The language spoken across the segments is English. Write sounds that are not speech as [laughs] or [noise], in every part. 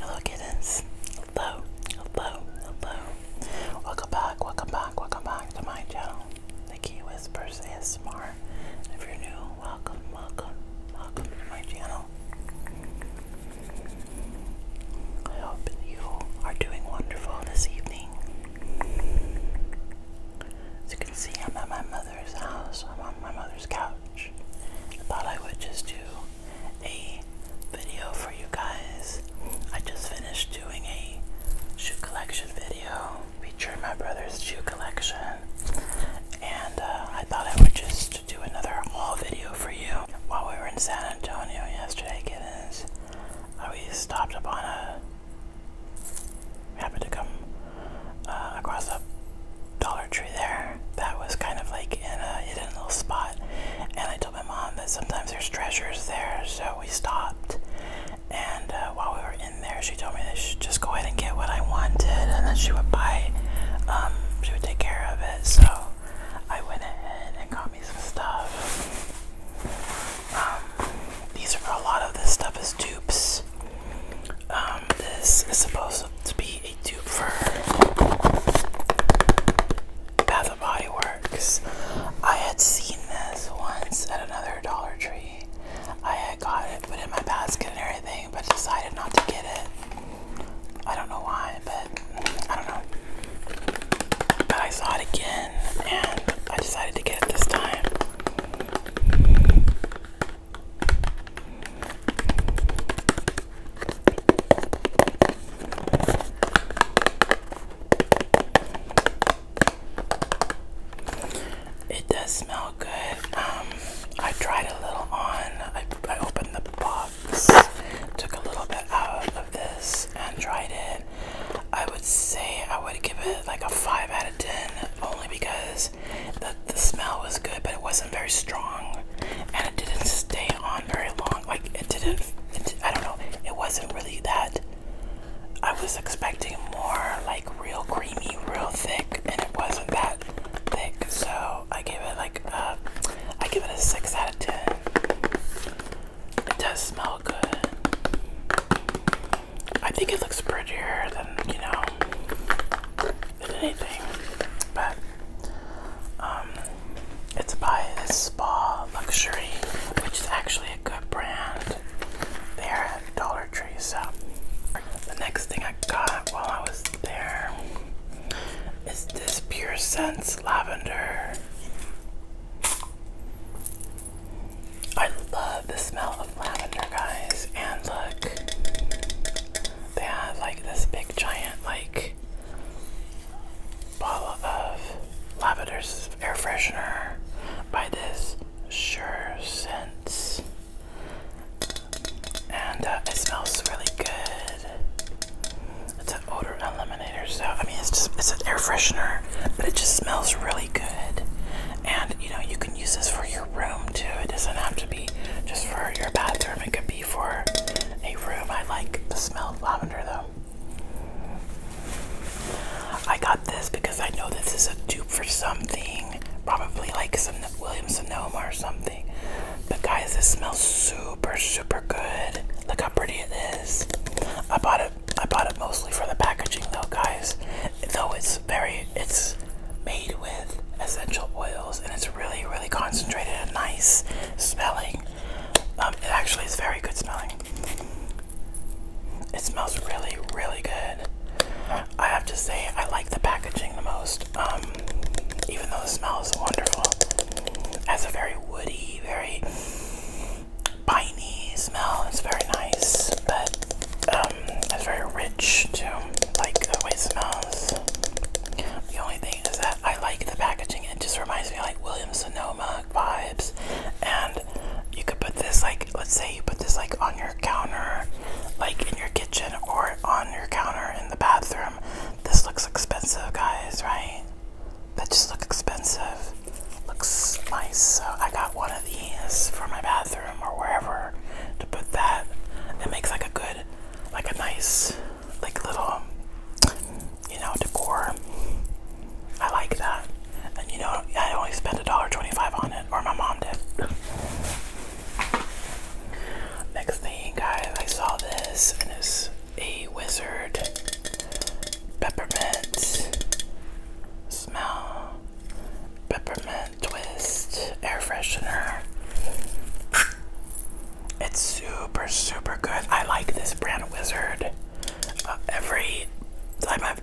Hello kittens. Hello, hello, hello. Welcome back, welcome back, welcome back to my channel. Nikki Whispers ASMR. If you're new, welcome, welcome, welcome to my channel. I hope you are doing wonderful this evening. As you can see, I'm at my mother's house. I'm on my mother's couch. I thought I would just do a video for you guys. I just finished doing a shoe collection video featuring my brother's shoe collection, and uh, I thought I would just do another haul video for you. While we were in San Antonio yesterday, kittens, uh, we stopped upon a. happened to come uh, across a Dollar Tree there that was kind of like in a hidden little spot. And I told my mom that sometimes there's treasures there, so we stopped. And uh, while we were in there, she told me that I just go ahead and get what I wanted, and then she would buy, um, she would take care of it. So I went ahead and got me some stuff. Um, these are a lot of this stuff is dupes. Um, this is supposed to be Bath and Body Works. I had seen this once at another Dollar Tree. I had got it, put in my basket and everything, but decided not to get it. I don't know why, but I don't know. But I saw it again and I decided to get it this time. It does smell good. Um, I tried a little on. I, I opened the box, took a little bit out of this, and tried it. I would say I would give it like a 5 out of 10 only because the, the smell was good, but it wasn't very strong, and it didn't stay on very long. Like it didn't. I don't know. It wasn't really that. I was expecting more like real creamy, real thick, and it wasn't that thick. So I gave it like a, I give it a six out of ten. It does smell good. I think it looks prettier than you know than anything. But um, it's by this Spa Luxury, which is actually a good brand. there at Dollar Tree. So the next thing I got while I was there is this Pure Sense Lavender. I love the smell of lavender, guys. And look, they had like this big giant like bottle of lavender's air freshener by this sure scents and uh, it smells really good it's an odor eliminator so i mean it's just it's an air freshener but it just smells really good and you know you can use this for your room too it doesn't have to be just for your bathroom. It could be for a room. I like the smell of lavender though. I got this because I know this is a dupe for something. Probably like some William Sonoma or something. But guys, this smells super, super good. Look how pretty it is. I bought it. I bought it mostly for the packaging though, guys. Though it's very it's made with essential oils and it's really, really concentrated and nice smelling. Um, it actually is very good smelling. It smells really, really good. I have to say, I like the packaging the most. Um, even though the smell is wonderful, it has a very woody, very piney smell. It's very nice, but uh, it's um, very rich too, like the way it smells. The only thing is that I like the packaging. It just reminds me of, like Williams Sonoma vibes. And you could put this like, let's say you put this like on your counter, like in your kitchen or on your counter in the bathroom. This looks expensive, guys, right? That just looks expensive. Looks nice. So I got one of these for my bathroom or wherever to put that. It makes like a good like a nice, like little, you know, decor. I like that. And you know, I only spent a dollar twenty-five on it, or my mom did. Next thing, guys, I saw this, and it's a wizard peppermint smell. Peppermint. Twist air freshener. It's super, super good. I like this brand Wizard. Uh, every time I've,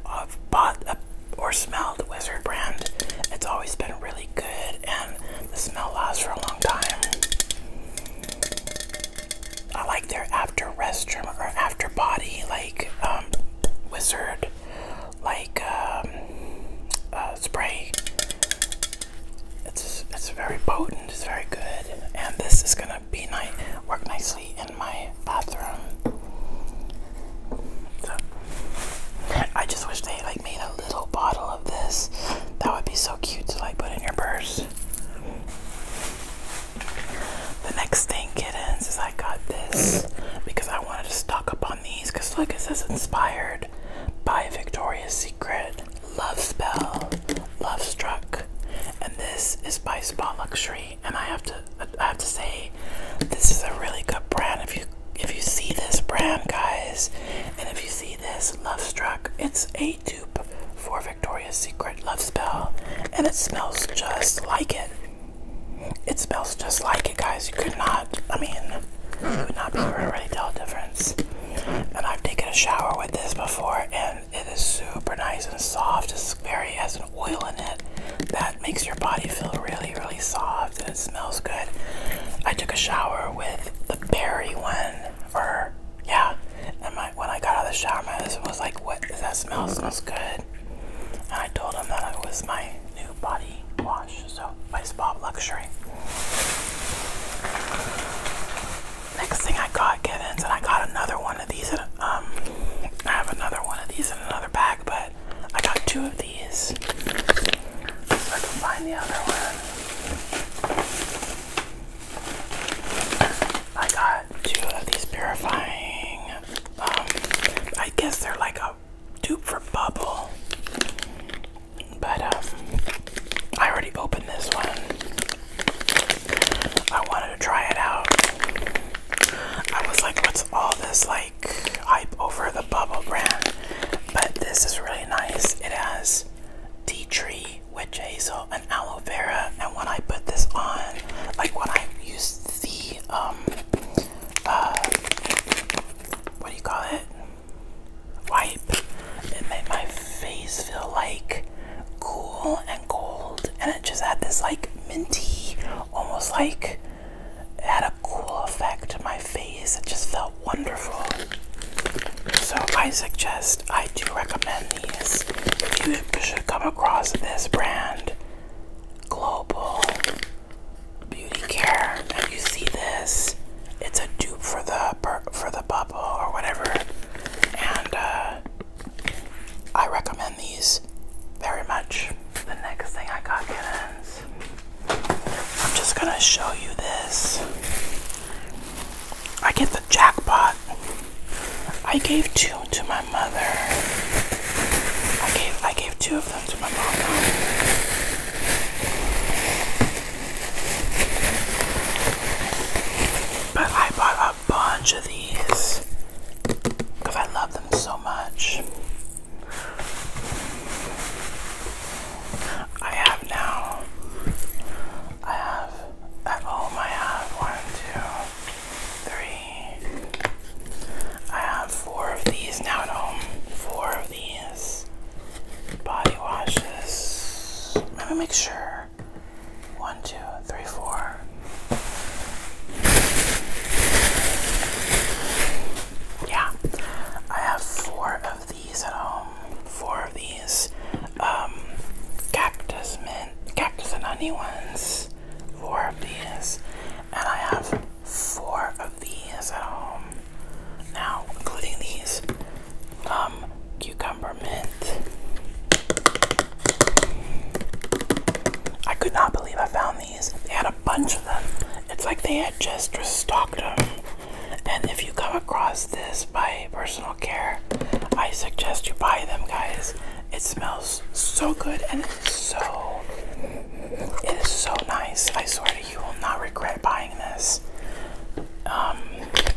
bought or smelled Wizard brand, it's always been really good and the smell lasts for a long time. I like their after restroom or after body, like um, Wizard, like um, uh, spray. It's it's very potent. It's very good, and this is gonna be nice, work nicely in my bathroom. So I just wish they like made a little bottle of this. That would be so cute to like put in your purse. The next thing, kittens, is I got this because I wanted to stock up on these. Cause look, it says inspired. Sword by Victoria's Secret, Love Spell, Love Struck, and this is by Spa Luxury. And I have to, I have to say, this is a really good brand. If you, if you see this brand, guys, and if you see this Love Struck, it's a dupe for Victoria's Secret Love Spell, and it smells just like it. It smells just like guys. You could not, I mean, you would not really tell the difference. And I've taken a shower with this before, and it is super nice and soft. It's very, it has an oil in it that makes your body feel really, really soft, and it smells good. I took a shower with the berry one, or yeah. And my, when I got out of the shower, my husband was like, "What? that smell? smells good." And I told him that it was my new body wash, so by Bob Luxury. Next thing I got, Givens, and I got another one of these. Um, I have another one of these in another bag, but I got two of these. So I can find the other one. I got two of these purifying. Um, I guess they're like a out for bubble. But um, I already opened this one. I wanted to try it out. I was like, what's all this like hype over the bubble brand? But this is really nice. It has tea tree, witch hazel, and aloe vera. And when I put this on, like when I use the um, uh, what do you call it? wipe it made my face feel like cool and cold and it just had this like minty almost like it had a cool effect to my face it just felt wonderful so i suggest i do recommend these if you should come across this brand global beauty care and you see this it's a dupe for the for the bubble or whatever and uh, I recommend these very much the next thing I got is I'm just gonna show you this I get the jackpot I gave two to my mother I gave I gave two of them. But I bought a bunch of these because I love them so much. I have now, I have at home, I have one, two, three. I have four of these now at home. Four of these body washes. Let me make sure. One, two, three, four. Yeah, I have four of these at home. Four of these um, cactus mint, cactus and honey ones. Four of these, and I have four of these at home now, including these um, cucumber mint. I could not believe I found these. They had a bunch of them. It's like they had just restocked them. And if you come across this by personal care, I suggest you buy them, guys. It smells so good and it's so, it is so nice. I swear you will not regret buying this. Um,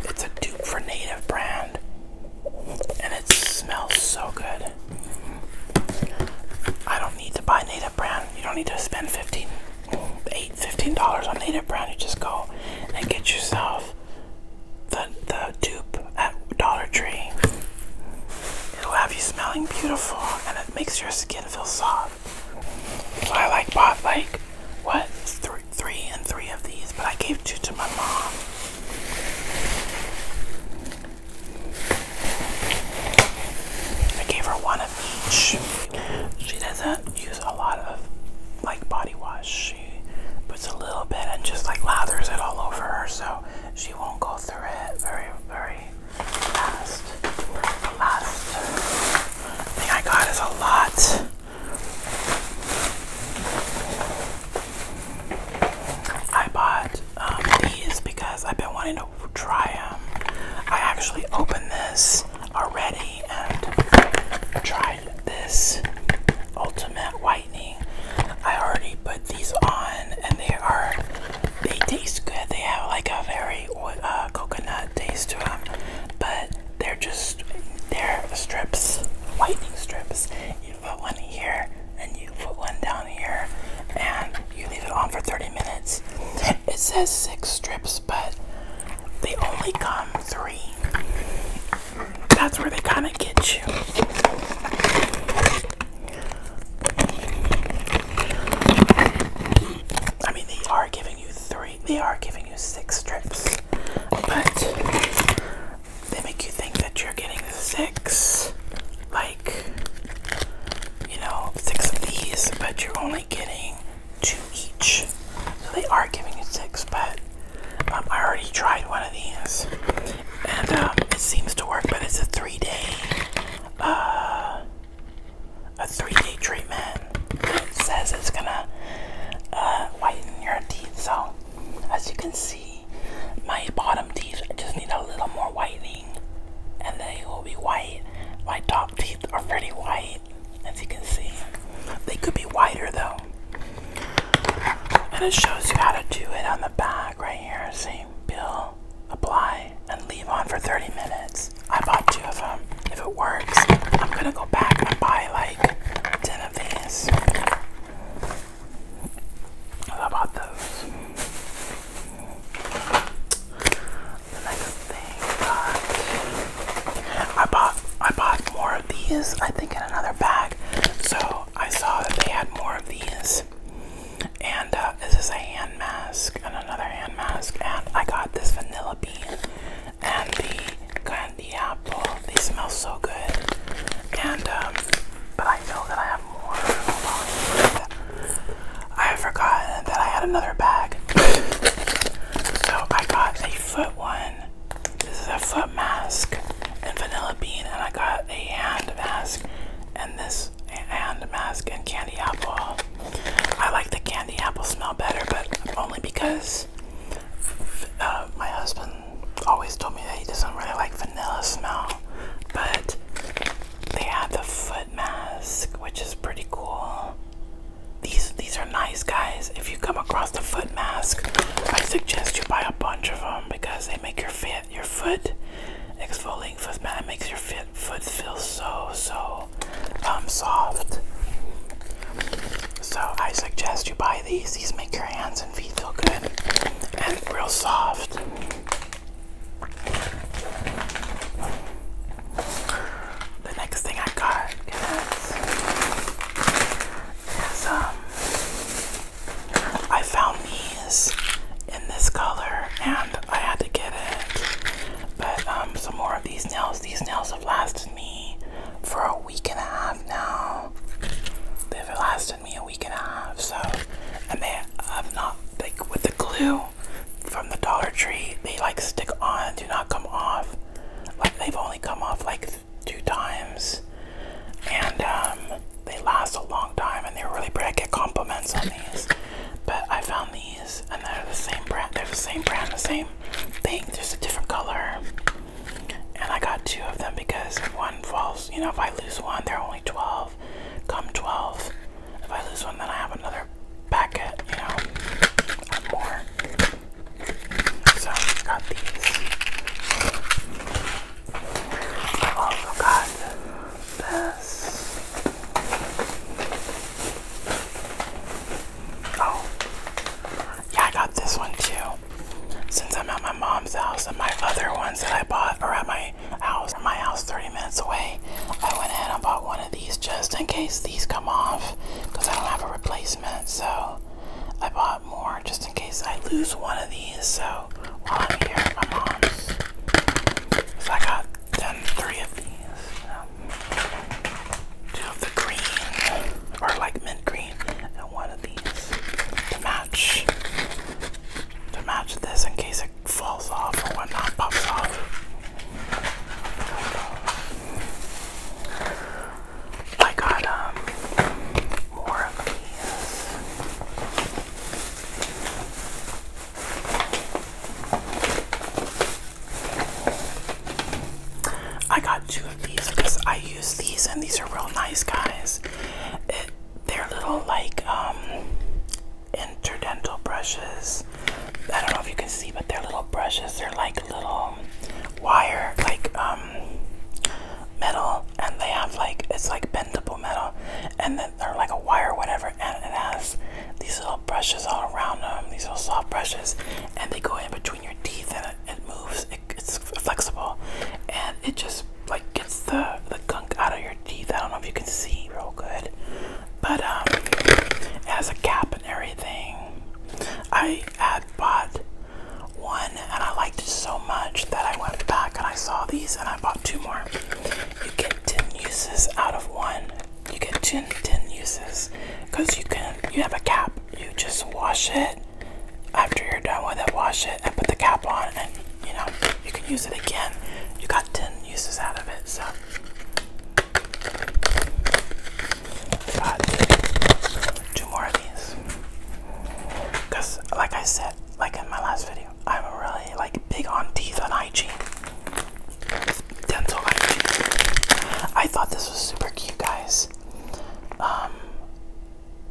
it's a dupe for Native brand, and it smells so good. I don't need to buy Native brand. You don't need to spend 15, 8, 15 dollars on Native brand. You just go and get yourself the the dupe at Dollar Tree. It'll have you smelling beautiful, and it makes your skin feel soft. So I like bought like what three, three and three of these, but I gave two to my mom. I gave her one of each. She doesn't use a lot of like body wash. She puts a little bit and just like lathers it all over her, so she won't go through it very, very last, last thing I got is a lot I bought um, these because I've been wanting to try them I actually opened this already and tried this ultimate whitening I already put these on and they are they taste good they have like a very very uh, coconut taste to them, but they're just they're strips, whitening strips. You put one here, and you put one down here, and you leave it on for 30 minutes. It says six strips, but they only come three. That's where they kind of get you. I mean, they are giving you three, they are giving you six strips, but they make you think that you're getting six, like, you know, six of these, but you're only getting two each. So they are giving you six, but um, I already tried one of these, and um, it seems to work, but it's a three day. Uh, a 3D treatment it says it's gonna uh, whiten your teeth. So, as you can see, my bottom teeth just need a little more whitening, and they will be white. My top teeth are pretty white, as you can see. They could be whiter though. And it shows you how to do it on the back right here. Same bill, apply and leave on for 30 minutes. I bought two of them. If it works, I'm gonna go back and buy like 10 of these. I bought those. The next thing I bought, I bought, I bought more of these, I think, in another bag. So I saw that they had more of these. And uh, this is a hand mask and another hand mask, and I got this vanilla bean and the candy apple. They smell so good, and um, but I know that I have more. Hold on. I forgot that I had another bag, so I got a foot one. This is a foot mask and vanilla bean, and I got a hand mask and this hand mask and candy apple. I like the candy apple smell better, but only because uh, my husband always told me that he doesn't really like vanilla smell. But they have the foot mask, which is pretty cool. These these are nice, guys. If you come across the foot mask, I suggest you buy a bunch of them because they make your fit your foot exfoliating foot mask makes your fit foot feels so, so um, soft. So I suggest you buy these. These make your hands and feet feel good and real soft. The next thing I got is um, I found these in this color and I had to get it but um, some more of these nails. These nails have lasted me for a week and a half now. They've lasted me a week and a half. So, and they have not like with the glue from the Dollar Tree. They like stick on, do not come off. Like they've only come off like two times, and um, they last a long time. And they're really pretty. get compliments on these, but I found these and they're the same brand. They're the same brand, the same thing, just a different color. And I got two of them because one falls, you know, if I lose one, there are only 12. Come 12. If I lose one, then I have another packet, you know, or more. So I got these. I also got this. Oh, yeah, I got this one too. Since I'm at my mom's house and my other ones that I bought are at my house, my house 30 minutes away, I went ahead and bought one of these just in case these come off because I don't have a replacement. So I bought more just in case I lose one of these. So while I'm here at my mom's, I got three of these two the green, or like mint green, and one of these to match. To match this in case it falls off or whatnot, pops off. I got um more of these. I got two of these because I use these and these are real nice guys. they're little like um, interdental brushes. I don't know if you can see but they're little brushes. They're like little wire like um, metal and they have like it's like bendable metal and then they're like a wire whatever and it has these little brushes all around them, these little soft brushes, and they go in between your teeth and it, moves. it's flexible and it just like gets the, the gunk out of your teeth. I don't know if you can see real good, but um, it has a cap and everything. I had bought one and I liked it so much that I went back and I saw these and I bought two more. You get 10 uses out of one you get 10, 10 uses because you can you have a cap you just wash it after you're done with it wash it and put the cap on and you know you can use it again you got 10 uses out of it so but two more of these because like I said like in my last video I'm really like big on teeth and hygiene dental I thought this was super cute, guys. Um,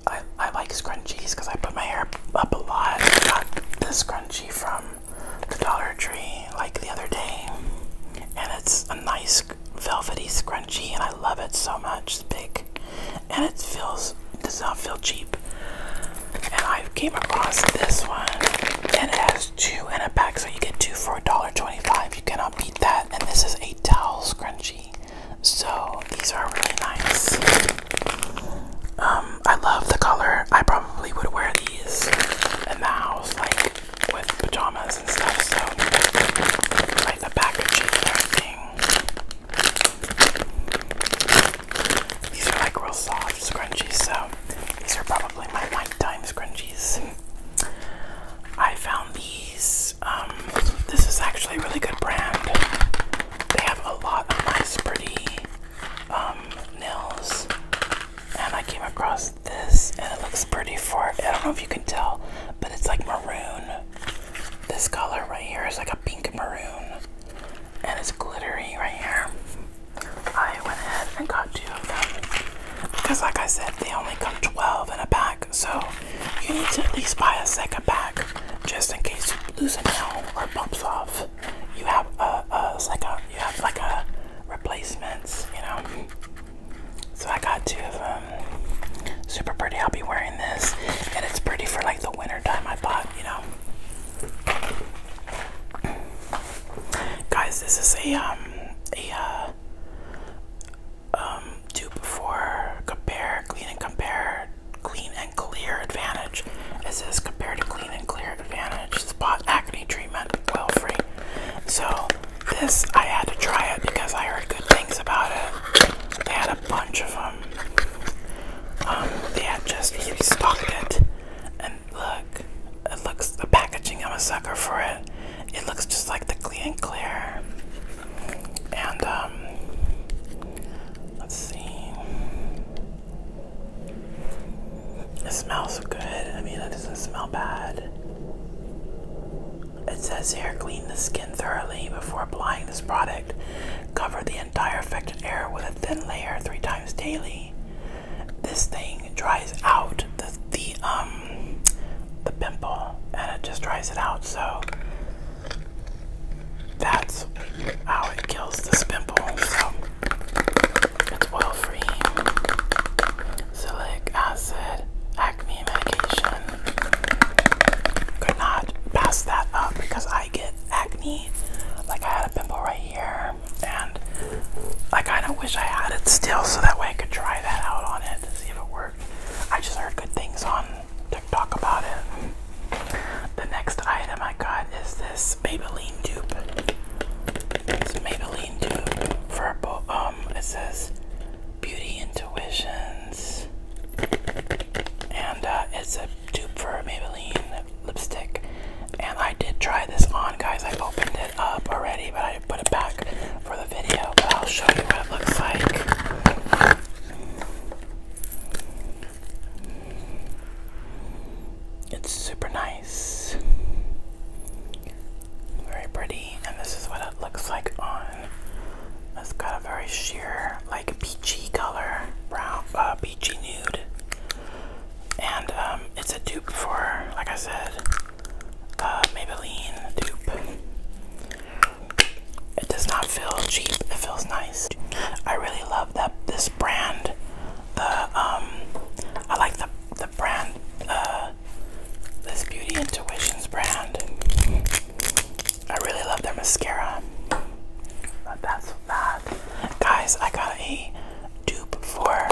I, I like scrunchies because I put my hair up a lot. I got this scrunchie from the Dollar Tree like the other day, and it's a nice velvety scrunchie, and I love it so much. It's big, and it feels does not feel cheap. And I came across this one, and it has two in a pack, so you get two for a dollar twenty-five. You cannot beat that. And this is a towel scrunchie. So these are really nice. Um, I love the color. I probably would wear these in the house, like with pajamas and stuff. So like the packaging and These are like real soft scrunchies, so these are probably my nighttime scrunchies. I found these. Um, this is actually a really good brand. They have a lot of nice, pretty um, nails. And I came across this, and it looks pretty for I don't know if you can tell, but it's like maroon. This color right here is like a pink maroon, and it's glittery right here. I went ahead and got two of them because, like I said, they only come 12 in a pack, so you need to at least buy a second pack just in case you lose a nail or pops off. You have a, a you have like a replacements, you know. So I got two of them. Super pretty. I'll be wearing this, and it's pretty for like the winter time. I bought, you know. Guys, this is a um a uh, um, before compare clean and compare clean and clear advantage. It says compare to clean and clear advantage spot acne treatment oil free. So this I had to try it because I heard good things about it. They had a bunch of them. Um, they had just stocked it look, it looks the packaging. I'm a sucker for it. It looks just like the Clean Clear. And um, let's see. It smells good. I mean, it doesn't smell bad. It says here, clean the skin thoroughly before applying this product. Cover the entire affected area with a thin layer three times daily this thing dries out the the um the pimple and it just dries it out so that's how it kills the pimple so it's oil free Silic acid acne medication could not pass that up because I get acne like I had a pimple right here and I kind of wish I had it still so that way I could try that out on it see if it worked. I just heard good things on TikTok about it. The next item I got is this Maybelline dupe. It's Maybelline dupe for um. It says Beauty Intuitions, and uh, it's a dupe for Maybelline lipstick. And I did try this on, guys. I opened it up already, but I put it back for the video. But I'll show you what it looks like. It's super nice, very pretty, and this is what it looks like on. It's got a very sheer, like peachy color, brown, uh, peachy nude, and um, it's a dupe for, like I said, uh, Maybelline dupe. It does not feel cheap. It feels nice. I really love that this brand. The um, I like the the brand. Uh, this Beauty Intuitions brand. I really love their mascara. But that's that, guys. I got a dupe for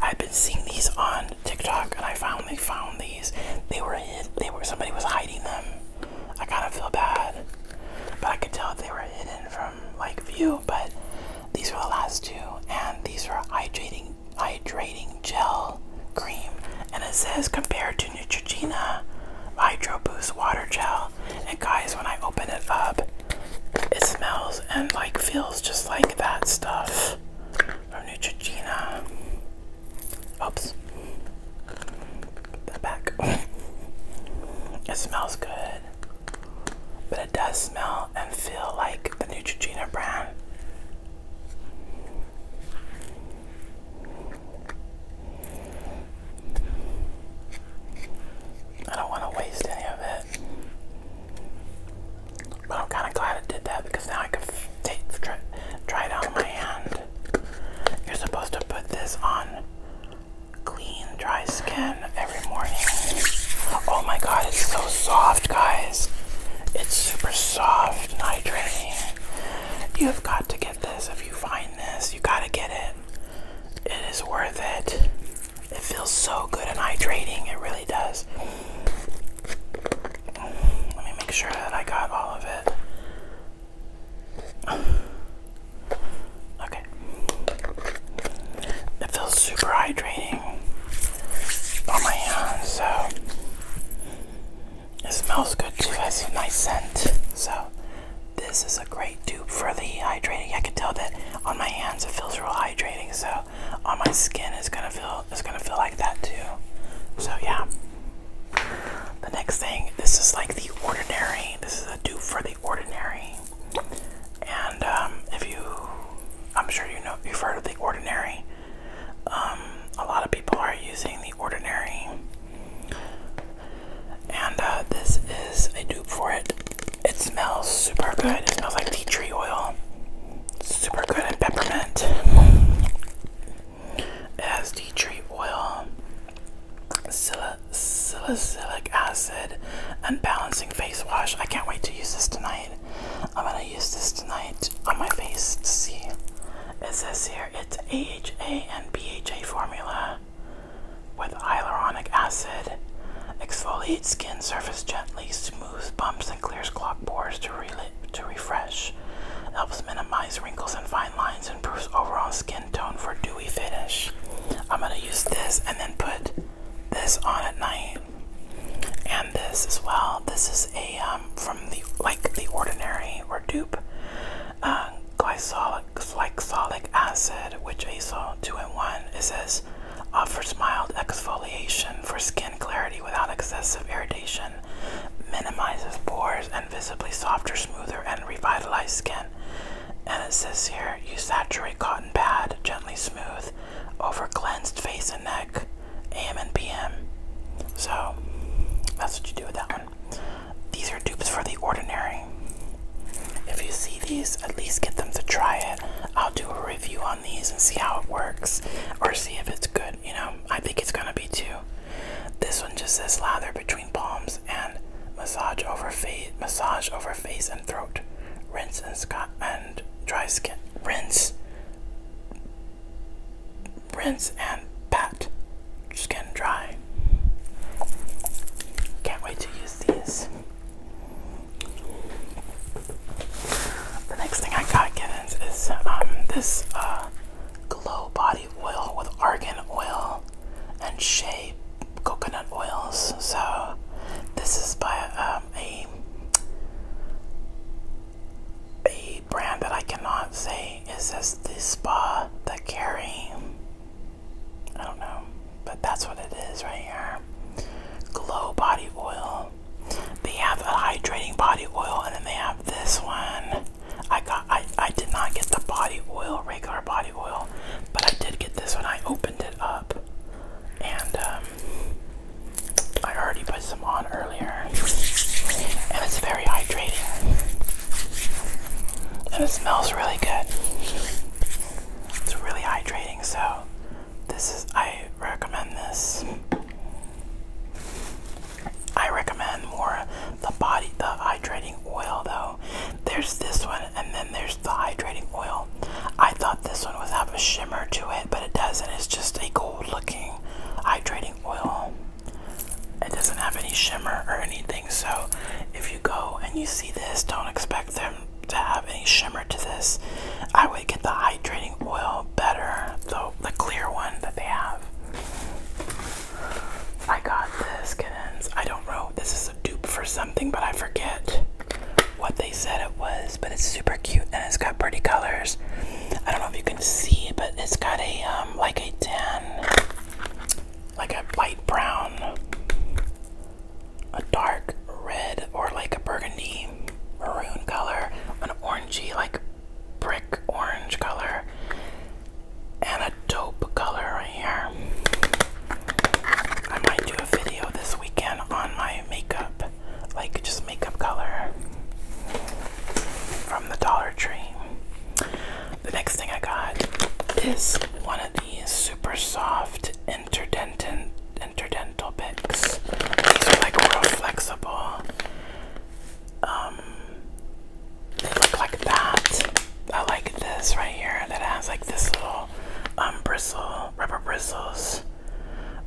I've been seeing these on TikTok, and I finally found these. They were hid. They were somebody was hiding them. I kind of feel bad, but I could tell they were hidden from like view. But these were the last two, and these were hydrating hydrating gel cream, and it says compared to Neutrogena Hydro Boost Water Gel. And guys, when I open it up, it smells and like feels just like that stuff of Neutrogena. Oops. Put that back. [laughs] it smells good. But it does smell and feel like the Neutrogena brand. I don't want to waste any of it. I'm kind of glad it did that because now I can take, try, it out on my hand. You're supposed to put this on clean, dry skin every morning. Oh my god, it's so soft, guys. It's super soft, hydrating. You've got to get this if you find this. You gotta get it. It is worth it. It feels so good and hydrating, it really does. Let me make sure that I got all of it. Okay. It feels super hydrating on my hands, so it smells good too, it has a nice scent. So this is a great dupe for the hydrating. I can tell that on my hands it feels real hydrating, so on my skin is gonna feel it's gonna feel like that too. So yeah. The next thing, this is like the ordinary. This is a dupe for the ordinary. And um, if you, I'm sure you know you've heard of the ordinary. Um, a lot of people are using the ordinary, and uh, this is a dupe for it. It smells super good. It smells like tea tree oil. super good and peppermint. It has tea tree oil, salicylic silic acid, and balancing face wash. I can't wait to use this tonight. I'm gonna use this tonight on my face to see. Is this here it's AHA and BHA formula with hyaluronic acid. Exfoliate skin surface gently, smooth removes bumps and clears clogged pores to, re to refresh. Helps minimize wrinkles and fine lines. Improves overall skin tone for dewy finish. I'm going to use this and then put this on at night. And this as well. This is a um, from the like the ordinary or dupe uh, glycolic acid, which I saw two in one. It says offers mild exfoliation for skin clarity without excessive irritation, minimizes pores, and visibly softer, smoother, and revitalized skin. And it says here use saturated cotton pad, gently smooth, over cleansed face and neck, AM and PM. So that's what you do with that one. These are dupes for the ordinary. If you see these, at least get them to try it. I'll do a review on these and see how it works or see if it's good, you know. I think it's gonna be too. This one just says lather between palms and massage over face massage over face and throat. Rinse and and dry skin. Rinse Rinse and pat skin dry. Can't wait to use these. The next thing I got, kittens, is um, this uh, Glow Body Oil with argan oil and shea coconut oils. So, this is by um, a a brand that I cannot say. It says the spa the carry. I don't know, but that's what it is right here. Glow Body Oil. They have a hydrating body oil, and then they have this one. I got. I I did not get the body oil, regular body oil, but I did get this one. I opened it up, and um, I already put some on earlier, and it's very hydrating, and it smells really good. It's really hydrating, so this is I recommend this. I recommend more the body the hydrating oil though. There's this one and then there's the hydrating oil. I thought this one was have a shimmer to it, but it doesn't. It's just a gold looking hydrating oil. It doesn't have any shimmer or anything, so if you go and you see this, don't expect there to have any shimmer to this, I would get the hydrating oil better, though the clear one that they have. I got this, kittens. I don't know. This is a dupe for something, but I forget what they said it was. But it's super cute and it's got pretty colors. I don't know if you can see, but it's got a um, like a tan, like a light brown a dark red or like a burgundy maroon color, an orangey, like brick orange color, and a dope color right here. I might do a video this weekend on my makeup, like just makeup color from the Dollar Tree. The next thing I got is one of these super soft interdentin interdental picks. These are like real flexible. Um, they look like that. I like this right here that has like this little um bristle, rubber bristles,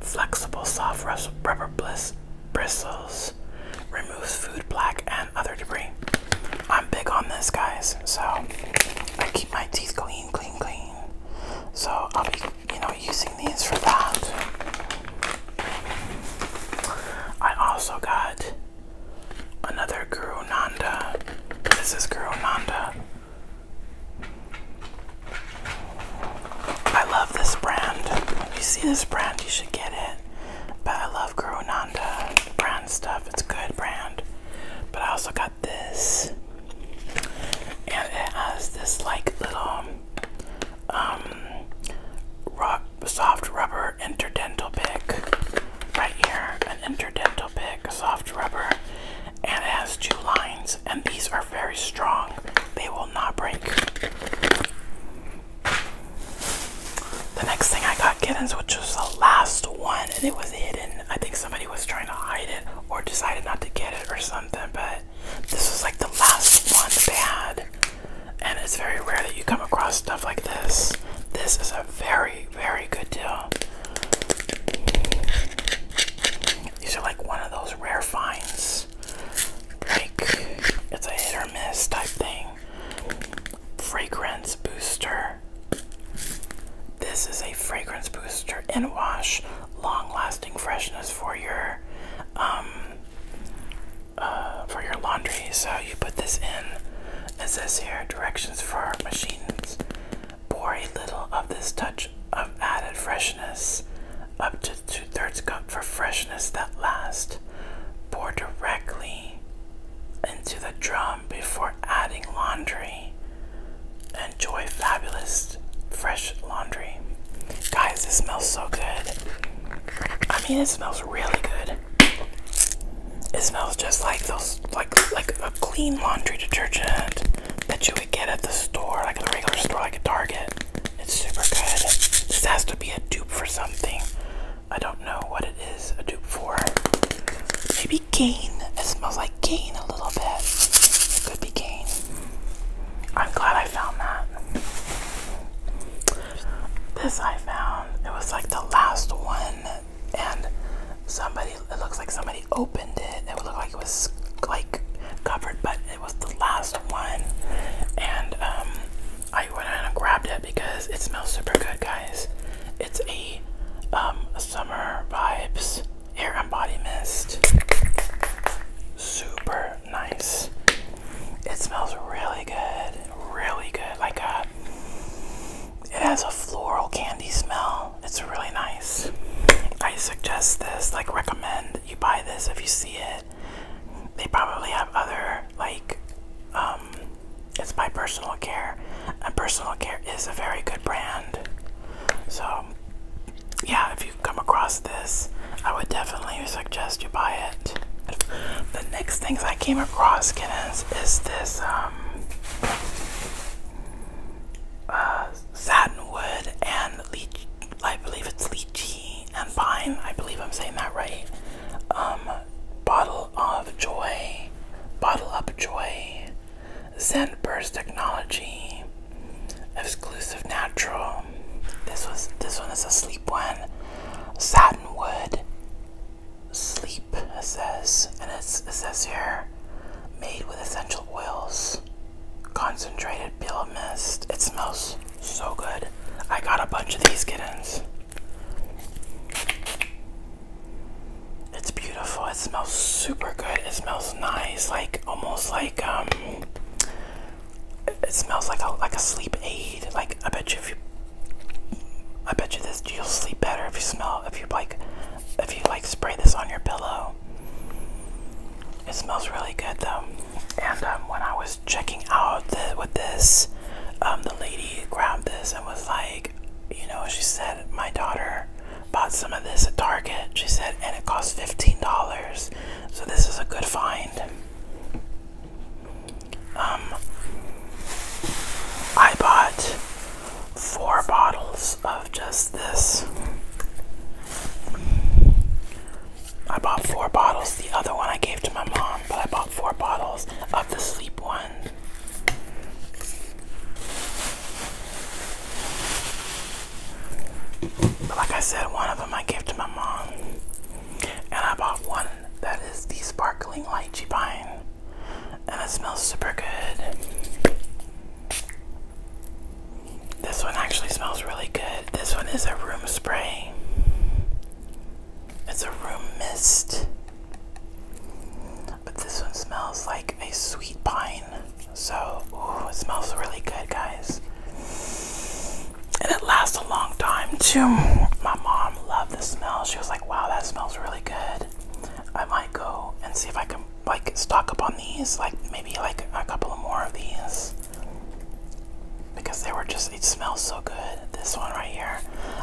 flexible soft rubber bliss bristles, removes food plaque and other debris. I'm big on this, guys. So I keep my teeth clean, clean, clean. So I'll be, you know, using these for that. I also got another Guru Nanda. This is Guru Nanda. I love this brand. When you see this brand, you should get it. But I love Guru Nanda brand stuff. It's a good brand. But I also got this and it has this like little um soft rubber interdental pick right here, an interdental pick, soft rubber, and it has two lines, and these are very strong. They will not break. The next thing I got kittens, which was the last one, and it was hidden. I think somebody was trying to hide it or decided not to get it or something, but this is like the last one that had. And it's very rare that you come across stuff like this. This is a very, very good deal. These are like one of those rare finds. Like, it's a hit or miss type thing. Fragrance booster. This is a fragrance booster in wash long-lasting freshness for your um, uh, for your laundry. So you put this in. It this here directions for machines. Pour a little of this touch of added freshness, up to two-thirds cup for freshness that lasts. Pour directly into the drum before adding laundry. Enjoy fabulous fresh laundry. Guys, this smells so good. I mean, it smells really good. It smells just like those, like like a clean laundry detergent that you would get at the store, like a regular store, like a Target. It's super good. This has to be a dupe for something. I don't know what it is a dupe for. Maybe Gain. It smells like gain a little bit. It could be gain. I'm glad I found that. This I found. It was like the last one, and somebody. It looks like somebody opened it. It looked like it was like covered, but it was the last one. And um, I went and grabbed it because it smells super good, guys. It's a um, summer vibes here I'm body mist. Super nice. It smells really good. Really good. Like a uh, it has a floral candy smell. It's really nice. I suggest this, like recommend you buy this if you see it. They probably have other like um it's by personal care and personal care is a very good brand. So yeah, if you come across this, I would definitely suggest you buy it. The next things I came across, kittens, is this um, uh, satinwood and leech. I believe it's leechy and pine. I believe I'm saying that right. Um, bottle of joy, bottle up joy. Scentburst Technology, Exclusive Natural. This was this one is a sleep one. Satinwood Sleep it says, and it's, it says here, made with essential oils, concentrated peel mist. It smells so good. I got a bunch of these kittens. It's beautiful. It smells super good. It smells nice, like almost like um it smells like a like a sleep aid. Like I bet you if you I bet you this you'll sleep better if you smell if you like if you like spray this on your pillow. It smells really good though. And um, when I was checking out with this, um, the lady grabbed this and was like, you know, she said, my daughter Bought some of this at Target, she said, and it cost $15. So this is a good find. Um, I bought four bottles of just this. I bought four bottles. The other one I gave to my mom, but I bought four bottles of the sleep one. But like I said, one of them I gave to my mom. And I bought one that is the sparkling lychee pine. And it smells super good. This one actually smells really good. This one is a room spray. It's a room mist. But this one smells like a sweet pine. So, ooh, it smells really good, guys. And it lasts a long time, too. My mom loved the smell. She was like, wow, that smells really good. I might go and see if I can, like, stock up on these. Like, maybe, like, a couple of more of these. Because they were just, it smells so good. This one right here.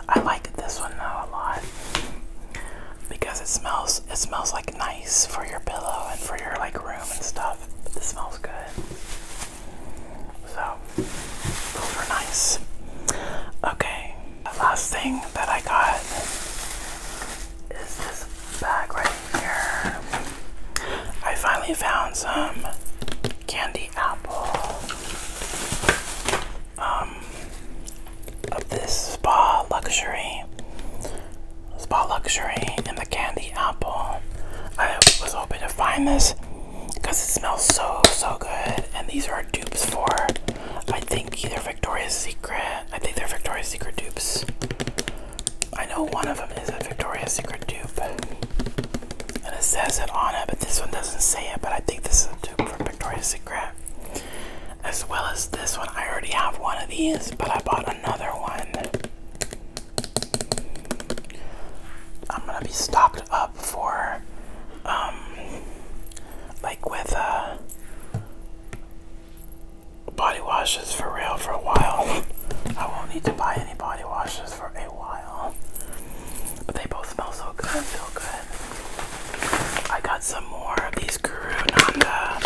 I like this one now a lot. Because it smells, it smells, like, nice for your pillow and for your, like, room and stuff stuff, but this smells good. So, those nice. Okay, the last thing that I got is this bag right here. I finally found some candy apple um, of this spa luxury Spot Luxury and the Candy Apple. I was hoping to find this because it smells so, so good. And these are dupes for, I think, either Victoria's Secret. I think they're Victoria's Secret dupes. I know one of them is a Victoria's Secret dupe. And it says it on it, but this one doesn't say it. But I think this is a dupe from Victoria's Secret. As well as this one. I already have one of these, but I bought another one. I'm gonna be stocked up for, um, like with, uh, body washes for real for a while. [laughs] I won't need to buy any body washes for a while. But they both smell so good I feel good. I got some more of these Guru Nanda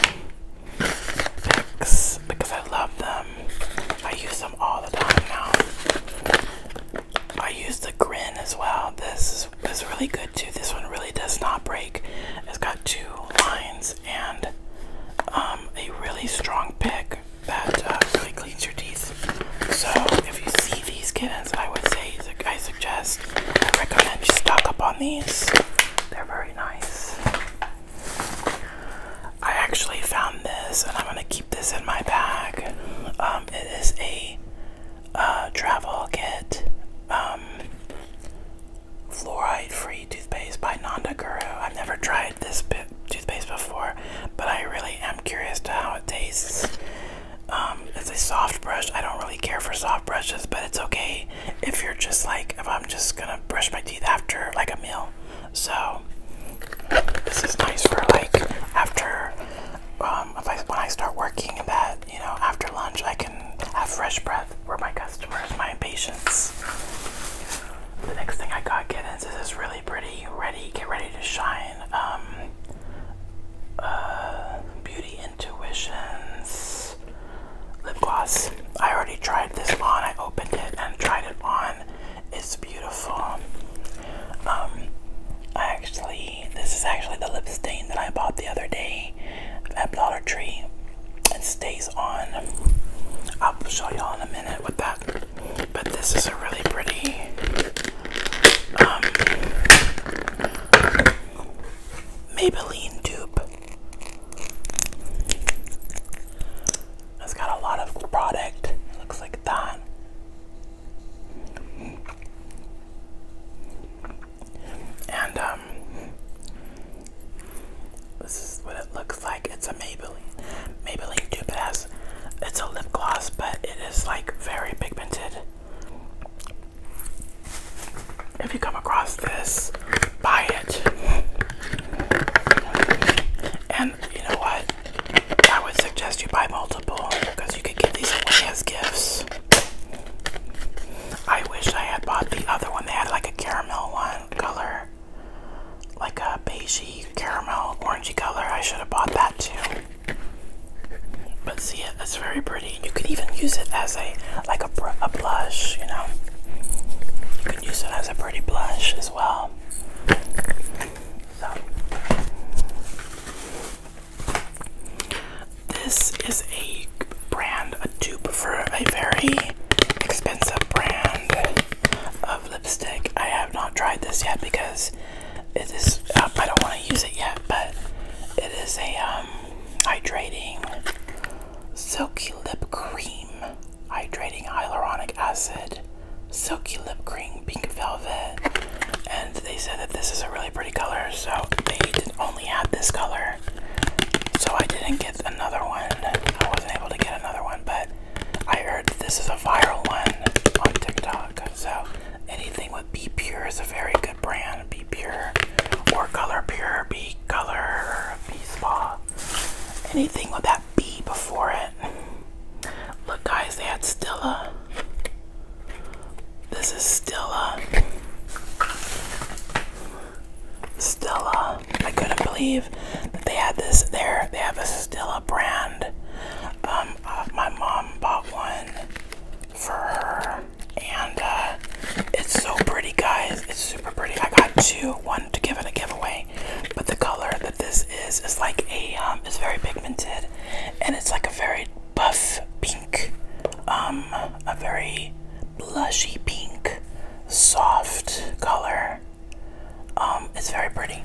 because I love them. I use them all the time now. I use the Grin as well. This is, really good too. This one really does not break. It's got two lines and um, a really strong pick that uh, really cleans your teeth. So if you see these kittens, I would say I suggest, I recommend you stock up on these. They're very nice. I actually found this and I'm gonna keep this in my bag. Um, it is a uh, travel kit, um, fluoride free toothpaste by Nanda Guru. I've never tried this toothpaste before, but I really am curious to how it tastes. Um, it's a soft brush. I don't really care for soft brushes, but it's okay if you're just like if I'm just gonna brush my teeth after like a meal. So this is nice for like after um if I when I start working that, you know, after lunch I can have fresh breath for my customers, my patients. The next thing I got Giddens is this really pretty ready get ready to shine um uh beauty intuitions lip gloss. I already tried this on. I opened it and tried it on. It's beautiful. Um, actually, this is actually the lip stain that I bought the other day at Dollar Tree. It stays on. I'll show y'all in a minute with that. But this is a really pretty. Um, Maybelline dupe. It's got a lot of product. It looks like that. And um this is what it looks like. It's a Maybelline Maybelline tube. It it's a lip gloss, but it is like very pigmented. If you come across this, buy it. And you know what? I would suggest you buy multiple because you could give these away as gifts. I wish I had bought the other one. They had like a caramel one color, like a beigey caramel orangey color. I should have bought that too. But see, it, it's very pretty. You could even use it as a like a, blush, you know. You can use it as a pretty blush as well. this is a brand, a dupe for a very expensive brand of lipstick. I have not tried this yet because it is, uh, I don't want to use it yet, but it is a um, hydrating silky lip cream hydrating hyaluronic acid, silky lip cream, pink velvet, and they said that this is a really pretty color, so they only had this color. So I didn't get another one. I wasn't able to get another one, but I heard this is a viral one on TikTok. So anything with Be Pure is a very good brand. Be Pure or Color Pure, Be Color, Be Spa anything with that B before it. Look, guys, they had Stilla. This is Stilla. Stella. I couldn't believe that they had this there. They have a Stella brand. Um, uh, my mom bought one for her, and uh, it's so pretty, guys. It's super pretty. I got two do one to give it a giveaway. But the color that this is is like a um, it's very pigmented, and it's like a very buff pink, um, a very blushy pink, soft color. Um, it's very pretty.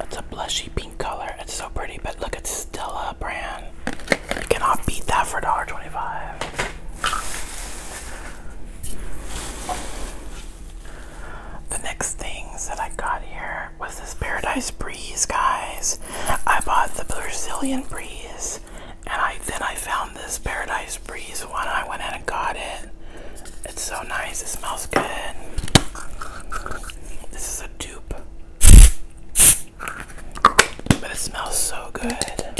It's a blushy pink color. It's so pretty, but look, it's Stella brand. You cannot beat that for $1.25. The next things that I got here was this Paradise Breeze, guys. I bought the Brazilian Breeze, and I then I found this Paradise Breeze one. I went in and got it. It's so nice. It smells good. This is a dupe, but it smells so good.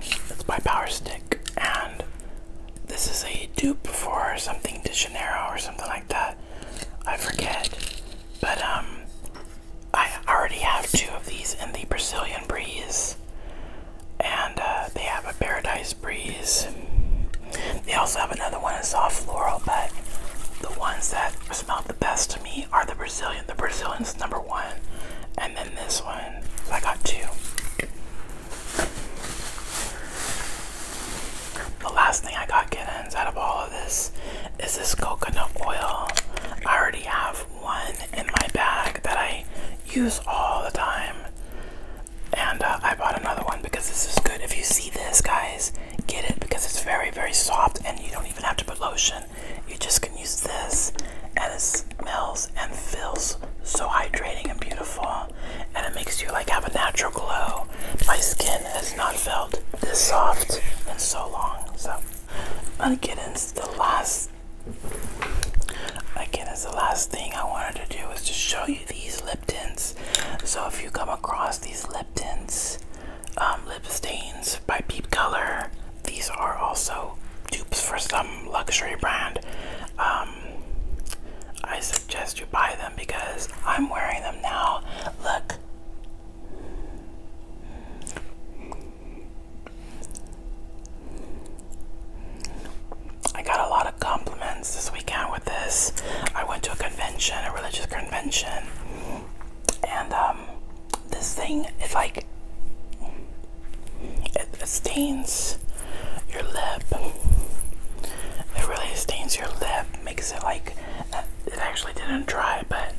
It's my Power Stick, and this is a dupe for something De Janeiro or something like that. I forget, but um, I already have two of these in the Brazilian Breeze, and uh, they have a Paradise Breeze. They also have another one in soft floral, but the ones that smell the best to me are the Brazilian. The Brazilian's number one. And then this one. I got two. The last thing I got kittens out of all of this is this coconut oil. I already have one in my bag that I use all the time. And uh, I bought another one because this is good. If you see this, guys, get it because it's very very soft and you don't even have to put lotion you just can use this and it smells and feels so hydrating and beautiful and it makes you like have a natural glow my skin has not felt this soft in so long so I'm gonna get into the last again as the last thing I wanted to do is to show you these lip tints. so if you come across these lip tints. Um, lip stains by Peep Color. These are also dupes for some luxury brand. Um, I suggest you buy them because I'm wearing them now. Look. I got a lot of compliments this weekend with this. I went to a convention, a religious convention, and um, this thing is like it stains your lip. It really stains your lip, makes it like it actually didn't dry, but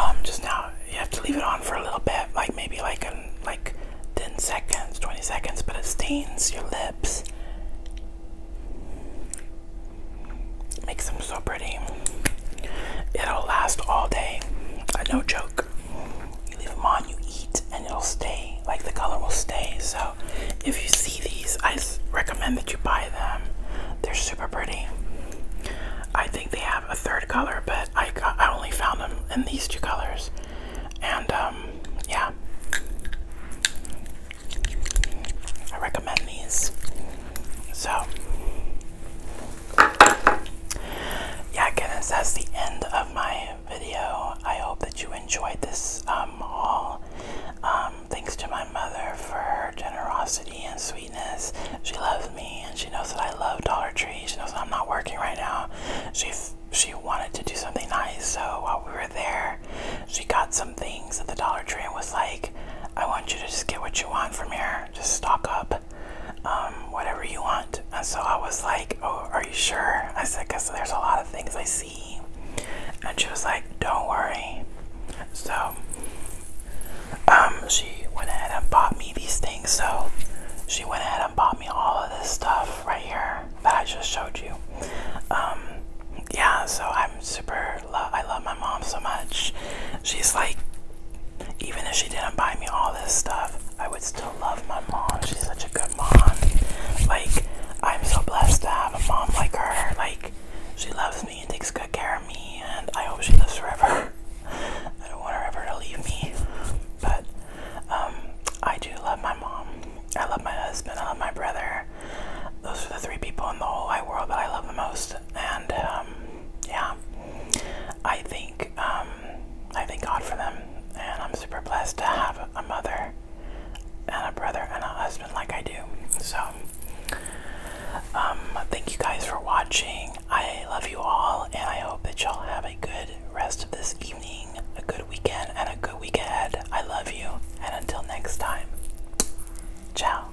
um, just now you have to leave it on for a little bit, like maybe like an, like 10 seconds, 20 seconds, but it stains your lips. Makes them so pretty. It'll last all day. Uh, no joke. You leave them on, you eat, and it'll stay. Like the color will stay. So if you see these, I recommend that you buy them. They're super pretty. I think they have a third color, but I, I only found them in these two colors. And um, yeah, I recommend these. So, yeah, goodness, that's the end of my video. I hope that you enjoyed this um, All um, thanks to my mother for her generosity and sweetness. She loves me and she knows that I love Dollar Tree. She knows that I'm not working right now. She she wanted to do something nice, so while we were there, she got some things at the Dollar Tree and was like, I want you to just get what you want from here. Just stock up, um, whatever you want. And so I was like, Oh, are you sure? I said, Because there's a lot of things I see. And she was like, Don't worry. So um, she went ahead and bought me these things. So she went ahead and bought me all of this stuff right here that I just showed you. Um, yeah, so I'm super her. Love, I love my mom so much. She's like, even if she didn't buy me all this stuff, I would still love my mom. She's such a good mom. Like, I'm so blessed to have a mom like her. Like, she loves me and takes good care of me, and I hope she lives forever. [laughs] I don't want her ever to leave me. But, um, I do love my mom. I love my husband. I love my brother. Those are the three people in the whole wide world that I love the most and um, yeah, I think um, I thank God for them, and I'm super blessed to have a mother and a brother and a husband like I do. So, um, thank you guys for watching. I love you all, and I hope that y'all have a good rest of this evening, a good weekend, and a good week ahead. I love you, and until next time, ciao.